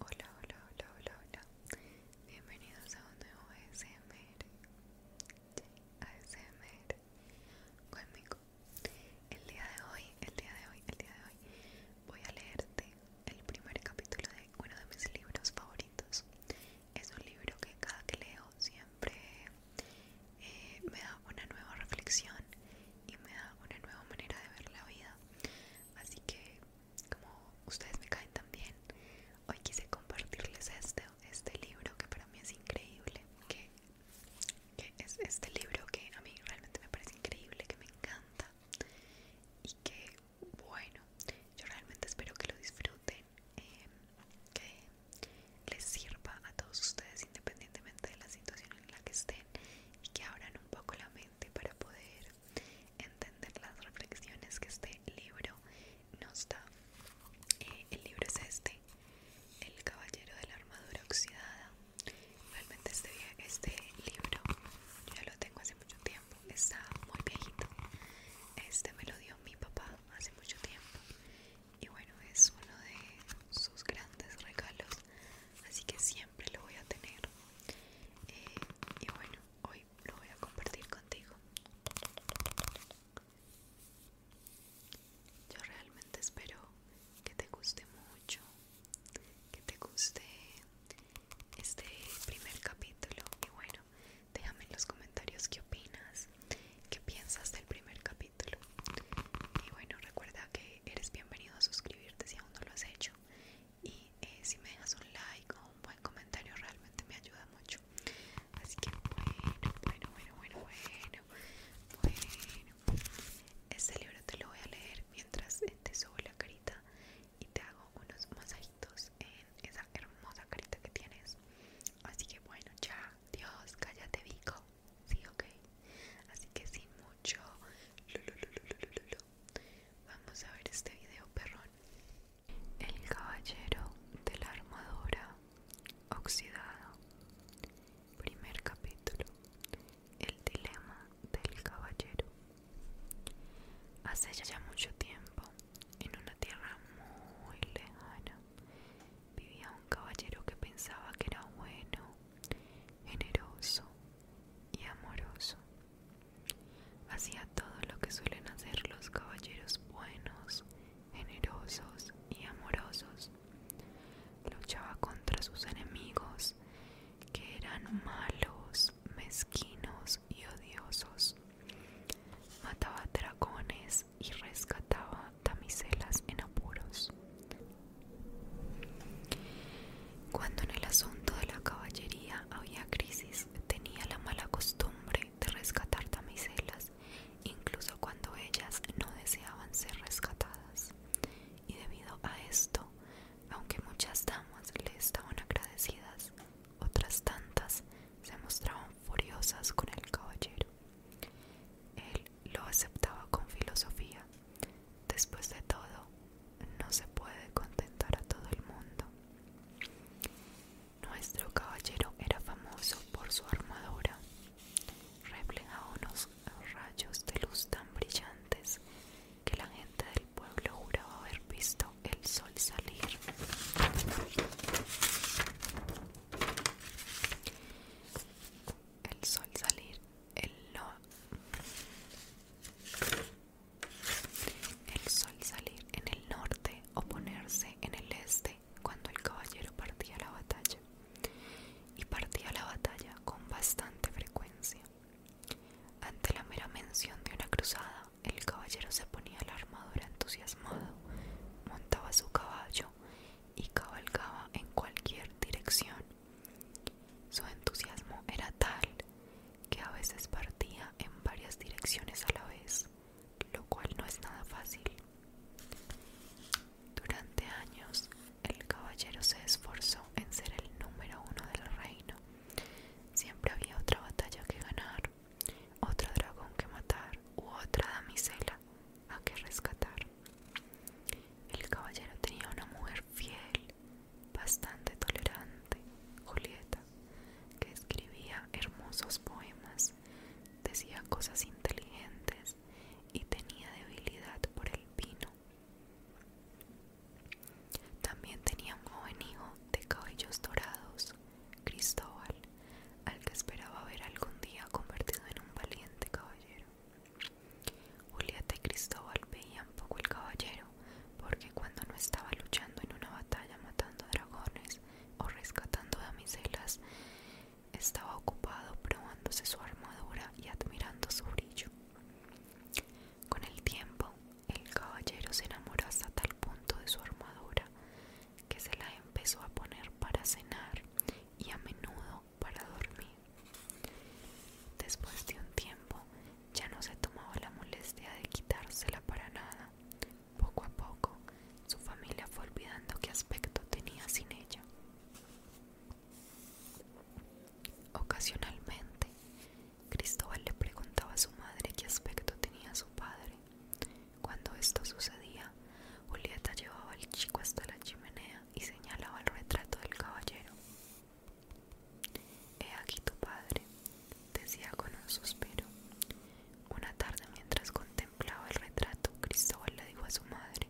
Hola, hola, hola, hola, hola. Bienvenidos a un nuevo ASMR. ASMR conmigo. El día de hoy, el día de hoy, el día de hoy, voy a leerte el primer capítulo de uno de mis libros favoritos. Es un libro que cada que leo siempre eh, me da una nueva reflexión y me da una nueva manera de ver la vida. Así que como ustedes me caen tan bien, hoy quise compartirles este, este libro que para mí es increíble, que, es este libro que a mí realmente me parece increíble, que me encanta y que bueno, yo realmente espero que lo disfruten, em, que les sirva a todos ustedes independientemente de la situación en la que estén y que abran un poco la mente para poder entender las reflexiones que este libro nos da. Eh, el libro es este, El Caballero de la Armadura Oxidada. Realmente este, este libro yo ya lo tengo hace mucho tiempo, está muy viejito. Este me lo dio mi papá hace mucho tiempo y bueno, es uno de sus grandes regalos así que siempre lo voy a tener eh, y bueno hoy lo voy a compartir contigo yo realmente espero que te guste mucho que te guste este primer capítulo y bueno déjame en los comentarios qué opinas qué piensas del primer capítulo y bueno recuerda que eres bienvenido a suscribirte si aún no lo has hecho y eh, si me dejas un like o un buen comentario realmente me ayuda mucho así que bueno bueno bueno bueno bueno bueno este libro te lo voy a leer mientras te subo la carita y te hago unos masajitos en esa hermosa carita que tienes así que bueno ya Dios cállate Vico sí ok así que sin Vamos a ver este video, perrón. El caballero de la armadura oxidado. Primer capítulo. El dilema del caballero. Hace ya mucho tiempo, en una tierra muy lejana, vivía un caballero que pensaba que era bueno, generoso y amoroso. Hacía todo lo que suelen hacer los caballeros buenos, generosos y amorosos. Luchaba contra sus enemigos, que eran malos, mezquinos y odiosos. Mataba dragones y rescataba damiselas en apuros. Cuando en el asunto de la caballería había crisis, tenía la mala costumbre de rescatar damiselas, incluso cuando ellas no deseaban ser rescatadas. Y debido a esto, aunque muchas damas le estaban agradecidas, otras tantas se mostraban furiosas con el caballero. Él lo aceptaba con filosofía Después de todo, no se puede contentar a todo el mundo. Nuestro caballero era famoso por su armadura. a unos rayos de luz tan brillantes que la gente del pueblo juraba haber visto el sol salir. El sol salir, el el sol salir en el norte o ponerse en el este cuando el caballero partía la batalla. Y partía la batalla con bastante frecuencia. Ante la mera mención de una cruzada, el caballero se ponía la armadura entusiasmado, montaba su caballo y cabalgaba en cualquier dirección su entusiasmo era tal que a veces partía en varias direcciones a la vez, lo cual no es nada fácil. Durante años, el caballero se esforzó en ser el número uno del reino. Siempre había otra batalla que ganar, otro dragón que matar u otra damisela a que rescatar. El caballero tenía una mujer fiel bastante tolerante, Julieta, que escribía hermosos poemas, decía cosas inteligentes y tenía debilidad por el vino. También tenía un joven hijo de cabellos dorados, Cristóbal, al que esperaba ver algún día convertido en un valiente caballero. Julieta y Cristóbal veían poco el caballero, porque cuando no estaba luchando en una batalla matando dragones o rescatando damiselas, estaba ocupado probándose su armadura y admirando su brillo. Con el tiempo, el caballero se enamoró hasta tal punto de su armadura que se la empezó a poner para cenar y a menudo para dormir. Después de un tiempo, ya no se tomaba la molestia de quitársela para nada. Poco a poco, su familia fue olvidando qué aspecto tenía sin ella. Ocasionalmente, Cristóbal le preguntaba a su madre qué aspecto tenía su padre. Cuando esto sucedía, Julieta llevaba al chico hasta la chimenea y señalaba el retrato del caballero. He aquí tu padre, decía con un suspiro. Una tarde mientras contemplaba el retrato, Cristóbal le dijo a su madre,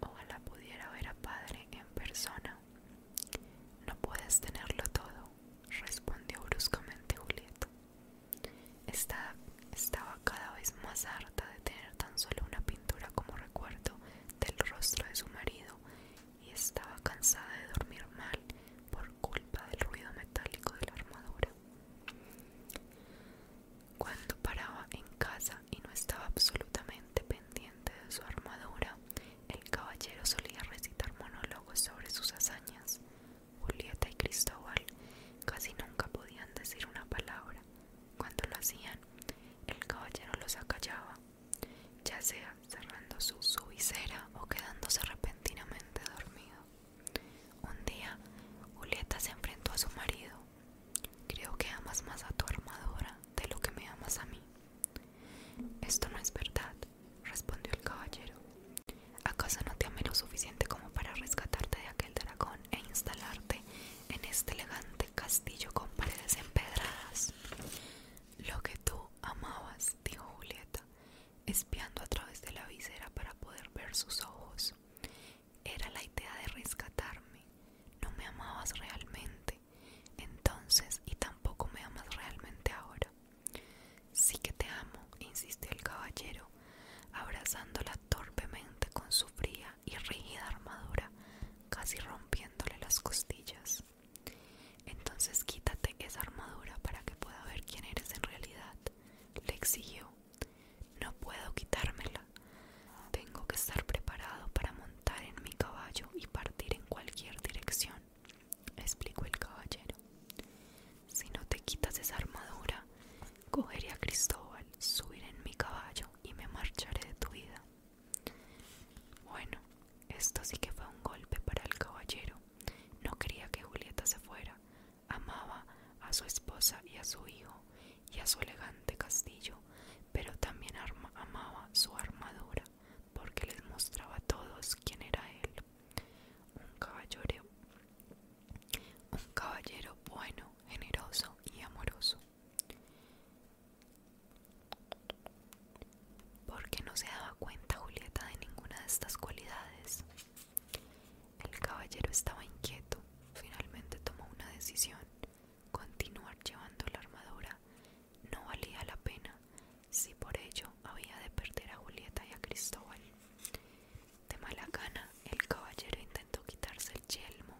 ojalá pudiera ver a padre en persona. No puedes tenerlo todo, respondió bruscamente Julieta. estaba cada vez más harta de tener tan solo una pintura como recuerdo del rostro de su marido y estaba cansada de dormir mal por culpa del ruido metálico de la armadura. Cuando paraba en casa y no estaba absolutamente pendiente de su armadura, el caballero solía recitar monólogos sobre sus hazañas. Julieta y Cristóbal casi nunca podían decir una palabra. Cuando lo hacían, el caballero los acallaba ya sea cerrando su, visera o quedándose repentinamente dormido. Un día, Julieta se enfrentó a su marido. Creo que amas más a tu armadura de lo que me amas a mí. Esto no es verdad, respondió el caballero. ¿Acaso no te amé lo suficiente como para rescatarte de aquel dragón e instalarte en este elegante castillo con paredes empedradas? Lo que tú amabas, dijo Julieta, espiando a través de la visera para poder ver sus ojos. Era la idea de rescatarme. No me amabas realmente entonces y tampoco me amas realmente ahora. Sí que te amo, insistió el caballero, abrazándola torpemente con su fría y rígida armadura, casi rompiéndole las costillas. Entonces quítate esa armadura para que pueda ver quién eres en realidad, le exigió. No puedo quitármela. Tengo que estar preparado para montar en mi caballo y partir en cualquier dirección, explicó el caballero. Si no te quitas esa armadura, cogeré a Cristóbal, subiré en mi caballo y me marcharé de tu vida. Bueno, esto sí que fue un golpe para el caballero. No quería que Julieta se fuera. Amaba a su esposa y a su hijo y a su elegante castillo, pero también amaba su armadura porque les mostraba a todos quién era él. Un caballero, un caballero bueno, generoso y amoroso. Porque no se daba cuenta Julieta de ninguna de estas cualidades. El caballero estaba inquieto. Finalmente tomó una decisión. Continuar llevando la armadura no valía la pena si por ello había de perder a Julieta y a Cristóbal. De mala gana, el caballero intentó quitarse el yelmo,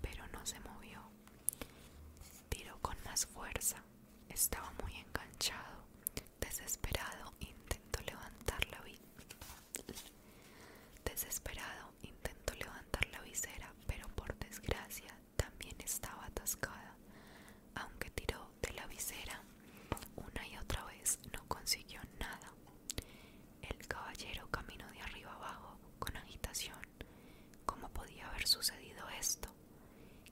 pero no se movió. Tiró con más fuerza estaba muy enganchado. Desesperado intentó levantar la Desesperado levantar la visera, pero por desgracia también estaba atascada. Aunque tiró de la visera una y otra vez, no consiguió nada. El caballero caminó de arriba abajo con agitación ¿Cómo podía haber sucedido esto?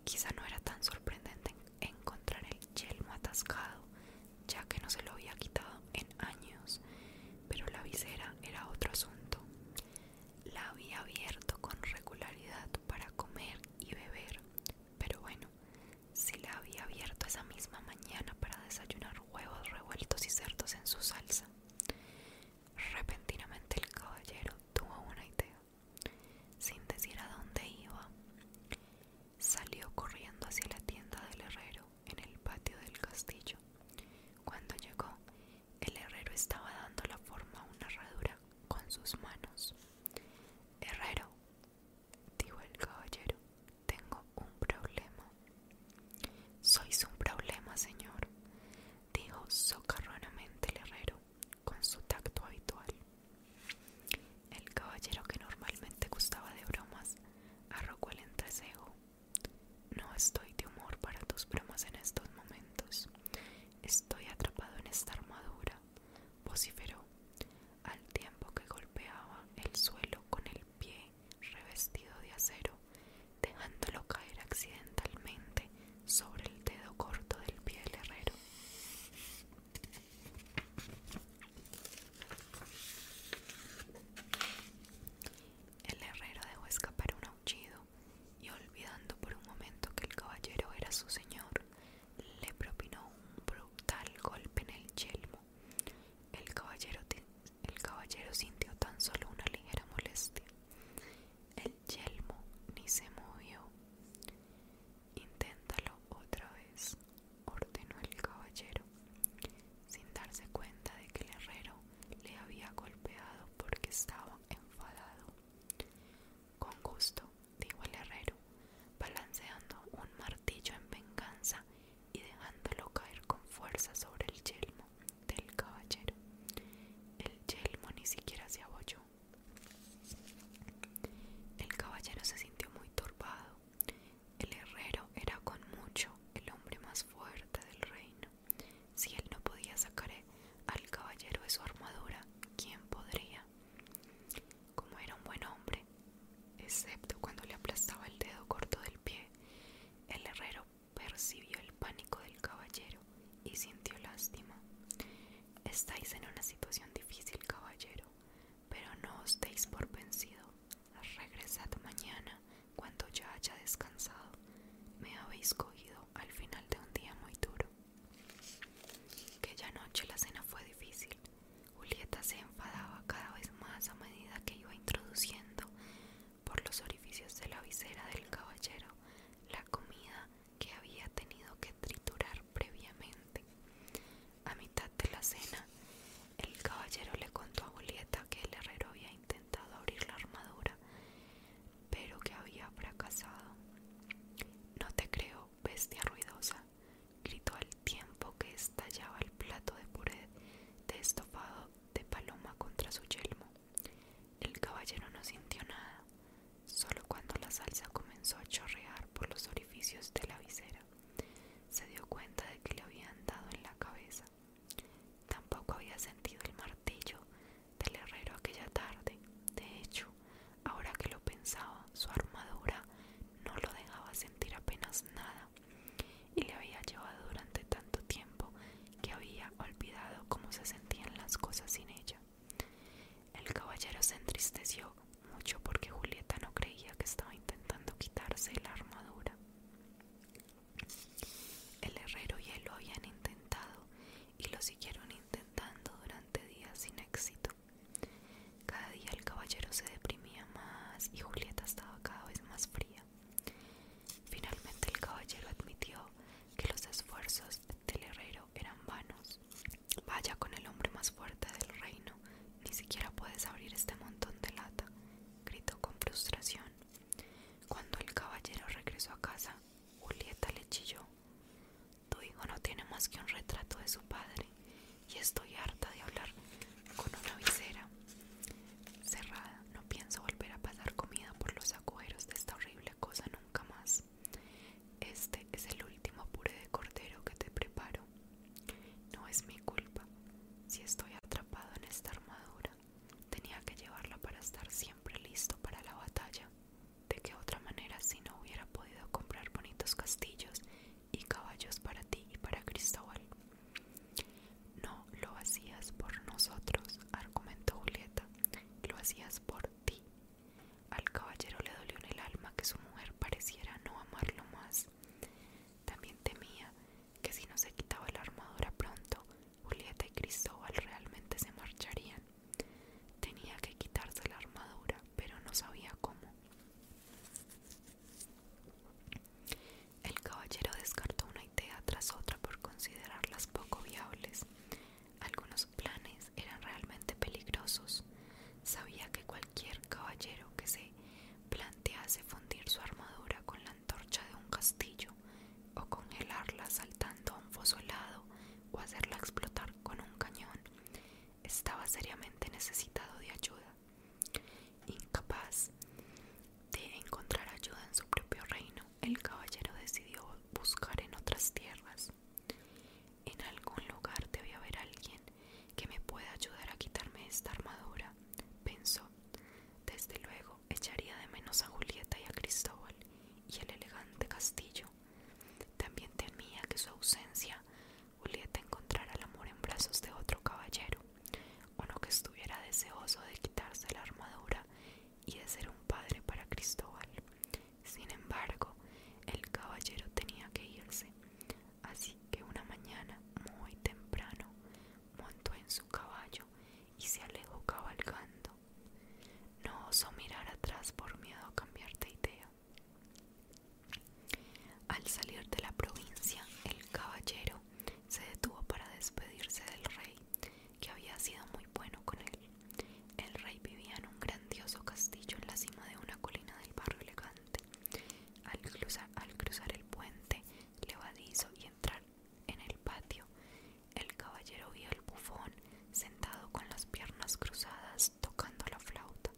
Quizá no era tan sorprendente encontrar el yelmo atascado, ya que no se lo había quitado en años, pero la visera era otro asunto. La había abierto con regularidad para comer y beber, pero bueno, si la había abierto esa misma mañana para desayunar huevos revueltos y cerdos en su salsa. Repentinamente el caballero tuvo una idea. Sin decir a dónde iba, salió corriendo hacia la tienda del herrero en el patio del castillo. Cuando llegó, el herrero estaba dando la forma a una herradura con sus manos. Herrero, dijo el caballero, tengo un problema. Sois un problema, señor, dijo socarronamente el herrero con su tacto habitual. El caballero que normalmente gustaba de bromas arrojó el entrecejo. No estoy de humor para tus bromas en estos momentos. Estoy atrapado en esta armadura, vociferó, al tiempo que golpeaba el suelo con el pie revestido de acero, dejándolo caer accidentalmente sobre el dedo corto del pie del herrero. El herrero dejó escapar un aullido y olvidando por un momento que el caballero era su señor, le propinó un brutal golpe en el yelmo. El caballero, el caballero sintió tan solo una ligera molestia. El yelmo ni se movió. Inténtalo otra vez, ordenó el caballero, sin darse cuenta de que el herrero le había golpeado porque estaba enfadado. Con gusto, dijo el herrero, balanceando un martillo en venganza y dejándolo caer con fuerza sobre el yelmo del caballero. El yelmo ni siquiera se abolló. El caballero se sintió muy turbado. El herrero era con mucho el hombre más fuerte del reino. Si él no podía sacar al caballero de su armadura, ¿quién podría? Como era un buen hombre, excepto cuando le aplastaba el dedo corto del pie, el herrero percibió el pánico del caballero y sintió lástima. Estáis en una situación difícil, caballero, pero no os deis por vencido. Regresad mañana cuando ya haya descansado. Me habéis cogido al final de un día muy duro. Aquella noche la cena fue difícil. Julieta se enfadaba cada vez más a medida que iba introduciendo por los orificios de la visera del caballero la comida que había tenido que triturar previamente. A mitad de la cena, el caballero le contó a Julieta que el herrero había intentado abrir la armadura, pero que había fracasado. No te creo, bestia ruidosa, gritó al tiempo que estallaba el plato de puré de estofado de paloma contra su yelmo. El caballero no sintió nada, solo cuando la salsa comenzó a chorrear por los orificios de la visera, se dio cuenta de que le habían dado en la cabeza. Tampoco había sentido el martillo del herrero aquella tarde. De hecho, ahora que lo pensaba, su armadura no lo dejaba sentir apenas nada y le había llevado durante tanto tiempo que había olvidado cómo se sentían las cosas sin ella. El caballero se entristeció mucho porque Julieta no creía que estaba intentando quitarse la armadura. El herrero y él lo habían intentado y lo siguieron intentando durante días sin éxito. Cada día el caballero se deprimía más y Julieta estaba cada vez más fría. Finalmente el caballero admitió que los esfuerzos del herrero eran vanos. Vaya con el hombre más fuerte del reino, ni siquiera puedes abrir este montón de lata, gritó con frustración. Cuando el caballero regresó a casa, Julieta le chilló. Tu hijo no tiene más que un retrato de su padre, y estoy harta de hablar con una visera cerrada. No pienso volver a pasar comida por los agujeros de esta horrible cosa nunca más. Este es el último puré de cordero que te preparo. No es mi culpa si estoy atrapado en esta armadura. Tenía que llevarla para estar siempre listo para la batalla. De qué otra manera si no hubiera podido comprar bonitos castillos y caballos para ti y para Cristóbal. No lo hacías por nosotros, argumentó Julieta. Lo hacías por ti. Al caballero le dolió en el alma que su mujer pareciera no amarlo más. También temía que si no se quitaba la armadura pronto, Julieta y Cristóbal realmente se marcharían. Tenía que quitarse la armadura, pero no sabía cómo. El caballero descartó una idea tras otra por considerarlas poco viables, algunos planes eran realmente peligrosos. Sabía que cualquier caballero que se plantease fundir su armadura con la antorcha de un castillo o congelarla saltando a un foso helado o hacerla explotar con un cañón estaba seriamente necesitado de ayuda. Incapaz de encontrar ayuda en su propio reino, el caballero decidió buscar en otras tierras. En algún lugar debe haber alguien que me pueda ayudar a quitarme esta armadura, pensó. Desde luego echaría de menos a Julieta y a Cristóbal y el elegante castillo. También temía que su ausencia Julieta encontrara el amor en brazos de otro caballero, no que estuviera deseoso de quitarse la armadura y de ser un padre para Cristóbal. Sin embargo, el caballero tenía que irse, así que una mañana muy temprano montó en su caballo y se alejó cabalgando. No osó mirar atrás por miedo a cambiar de idea. Al salir de la provincia, el caballero se detuvo para despedirse del rey que había sido muy bueno con él. El rey vivía en un grandioso castillo en la cima de una colina del barrio elegante. Al cruzar, el puente levadizo y entrar en el patio, el caballero vio al bufón sentado con las piernas cruzadas tocando la flauta.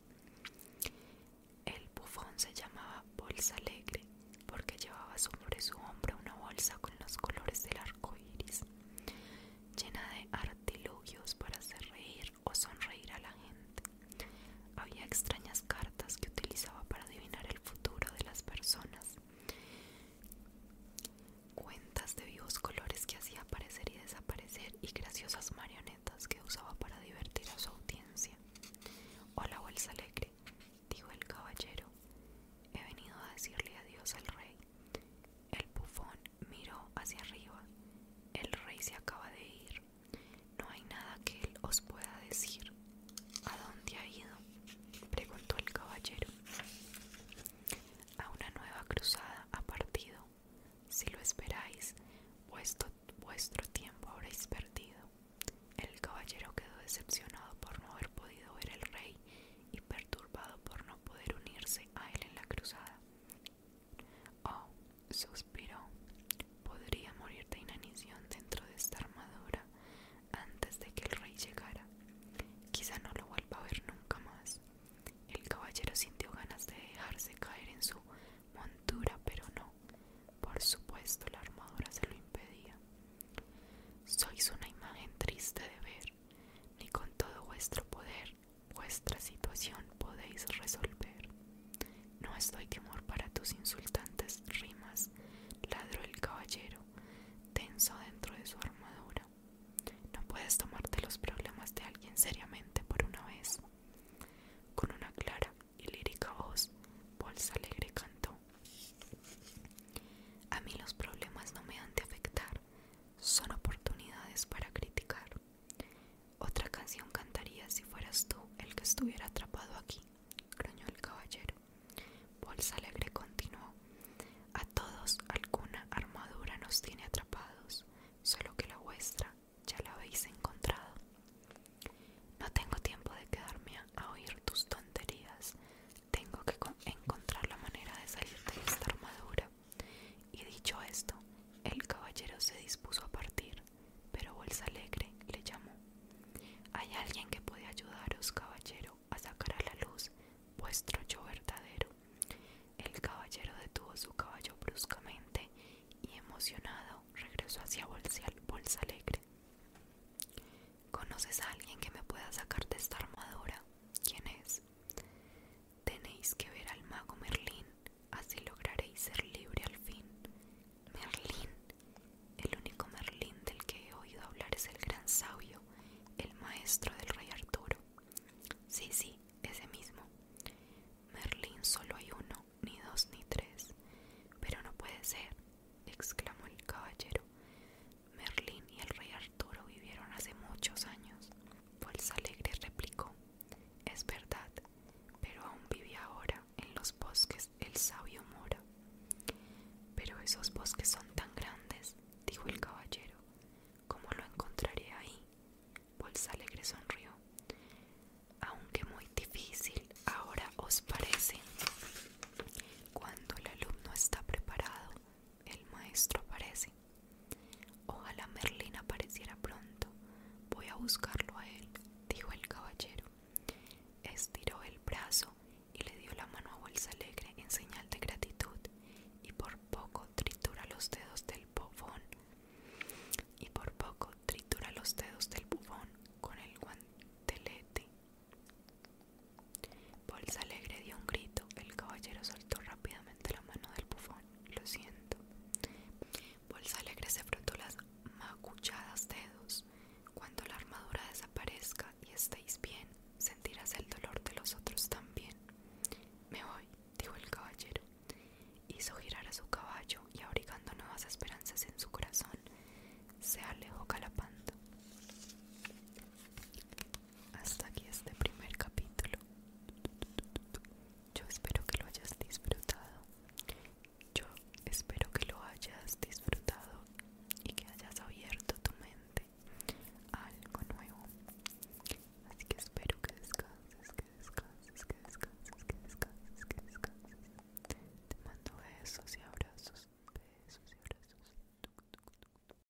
El bufón se llamaba Bolsa Alegre porque llevaba sobre su hombro una bolsa con los colores del arco iris llena de artilugios para hacer reír o sonreír a la gente. Había extrañas cartas que utilizaba para adivinar el futuro de las personas, cuentas de vivos colores que hacía aparecer y desaparecer y graciosas marionetas que usaba para divertir a su audiencia. Hola, bolsa alegre, dijo el caballero. He venido a decirle adiós al rey. El bufón miró hacia arriba. El rey se acaba de ir. No hay nada que él os pueda decir. ¿A dónde ha ido? preguntó el caballero. A una nueva cruzada ha partido. Si lo esperáis, vuestro, tiempo habréis perdido. El caballero quedó decepcionado por no haber podido ver al rey y perturbado por no poder unirse a él en la cruzada. Oh, suspiró, podría morir de inanición dentro de esta armadura antes de que el rey llegara. Quizá no lo vuelva a ver nunca más. El caballero sintió ganas de dejarse caer en su montura, pero no. Por supuesto, la armadura se lo impedía. Sois una imagen triste de ver, ni con todo vuestro poder vuestra situación podéis resolver. No estoy temor para tus insultantes rimas, ladró el caballero, tenso dentro de su armadura. No puedes tomarte los problemas de alguien seriamente por una vez. Con una clara y lírica voz, Bolsa Alegre cantó. A mí los problemas no me han de afectar, son oportunidades para criticar. Otra canción cantaría si fueras tú el que estuviera atrapado aquí, gruñó el caballero. Bolsa Alegre continuó. A todos alguna armadura nos tiene atrapados, solo que la vuestra ya la habéis encontrado. No tengo tiempo de quedarme a, a oír tus tonterías, tengo que encontrar la manera de salir de esta armadura. Y dicho esto, el caballero se dispuso a partir, pero Bolsa Alegre le llamó. Hay alguien que puede ayudaros, caballero, a sacar a la luz vuestro yo verdadero. El caballero detuvo su caballo bruscamente y emocionado regresó hacia Bolsa Alegre. ¿Conoces a alguien que me pueda sacar de esta armadura? ¿Quién es? Tenéis que ver al mago Merlín, así lograréis ser libre al fin. Merlín, el único Merlín del que he oído hablar es el gran sabio, el maestro del rey Arturo. Sí, sí, ese mismo. Merlín solo hay uno, ni dos, ni tres. Pero no puede ser, exclamó el caballero. Merlín y el rey Arturo vivieron hace muchos años. Bolsa Alegre replicó, es verdad, pero aún vive ahora en los bosques el sabio Mora. Pero esos bosques son tan grandes, dijo el caballero, ¿cómo lo encontraré ahí? Bolsa Alegre sonrió, aunque muy difícil ahora os parece. Cuando el alumno está preparado, el maestro aparece. Ojalá Merlín apareciera pronto. Voy a buscarlo a él, dijo el caballero. Estiró el brazo y le dio la mano a Bolsa Alegre en señal de gratitud, y por poco tritura los dedos del bufón. Y por poco tritura los dedos del bufón con el guantelete Bolsa Alegre dio un grito. El caballero soltó rápidamente la mano del bufón. Lo siento. Bolsa Alegre se frotó las macuchadas dedos. Cuando la armadura desaparezca y estéis bien, sentirás el dolor de los otros también. Me voy, dijo el caballero. Hizo girar a su caballo y abrigando nuevas esperanzas en su corazón, se alejó calapando hasta aquí este primer capítulo. Yo espero que lo hayas disfrutado. Yo espero que lo hayas disfrutado y que hayas abierto tu mente a algo nuevo. Así que espero que descanses, que descanses, que descanses, que descanses, que descanses. Te mando besos y abrazos, besos y abrazos.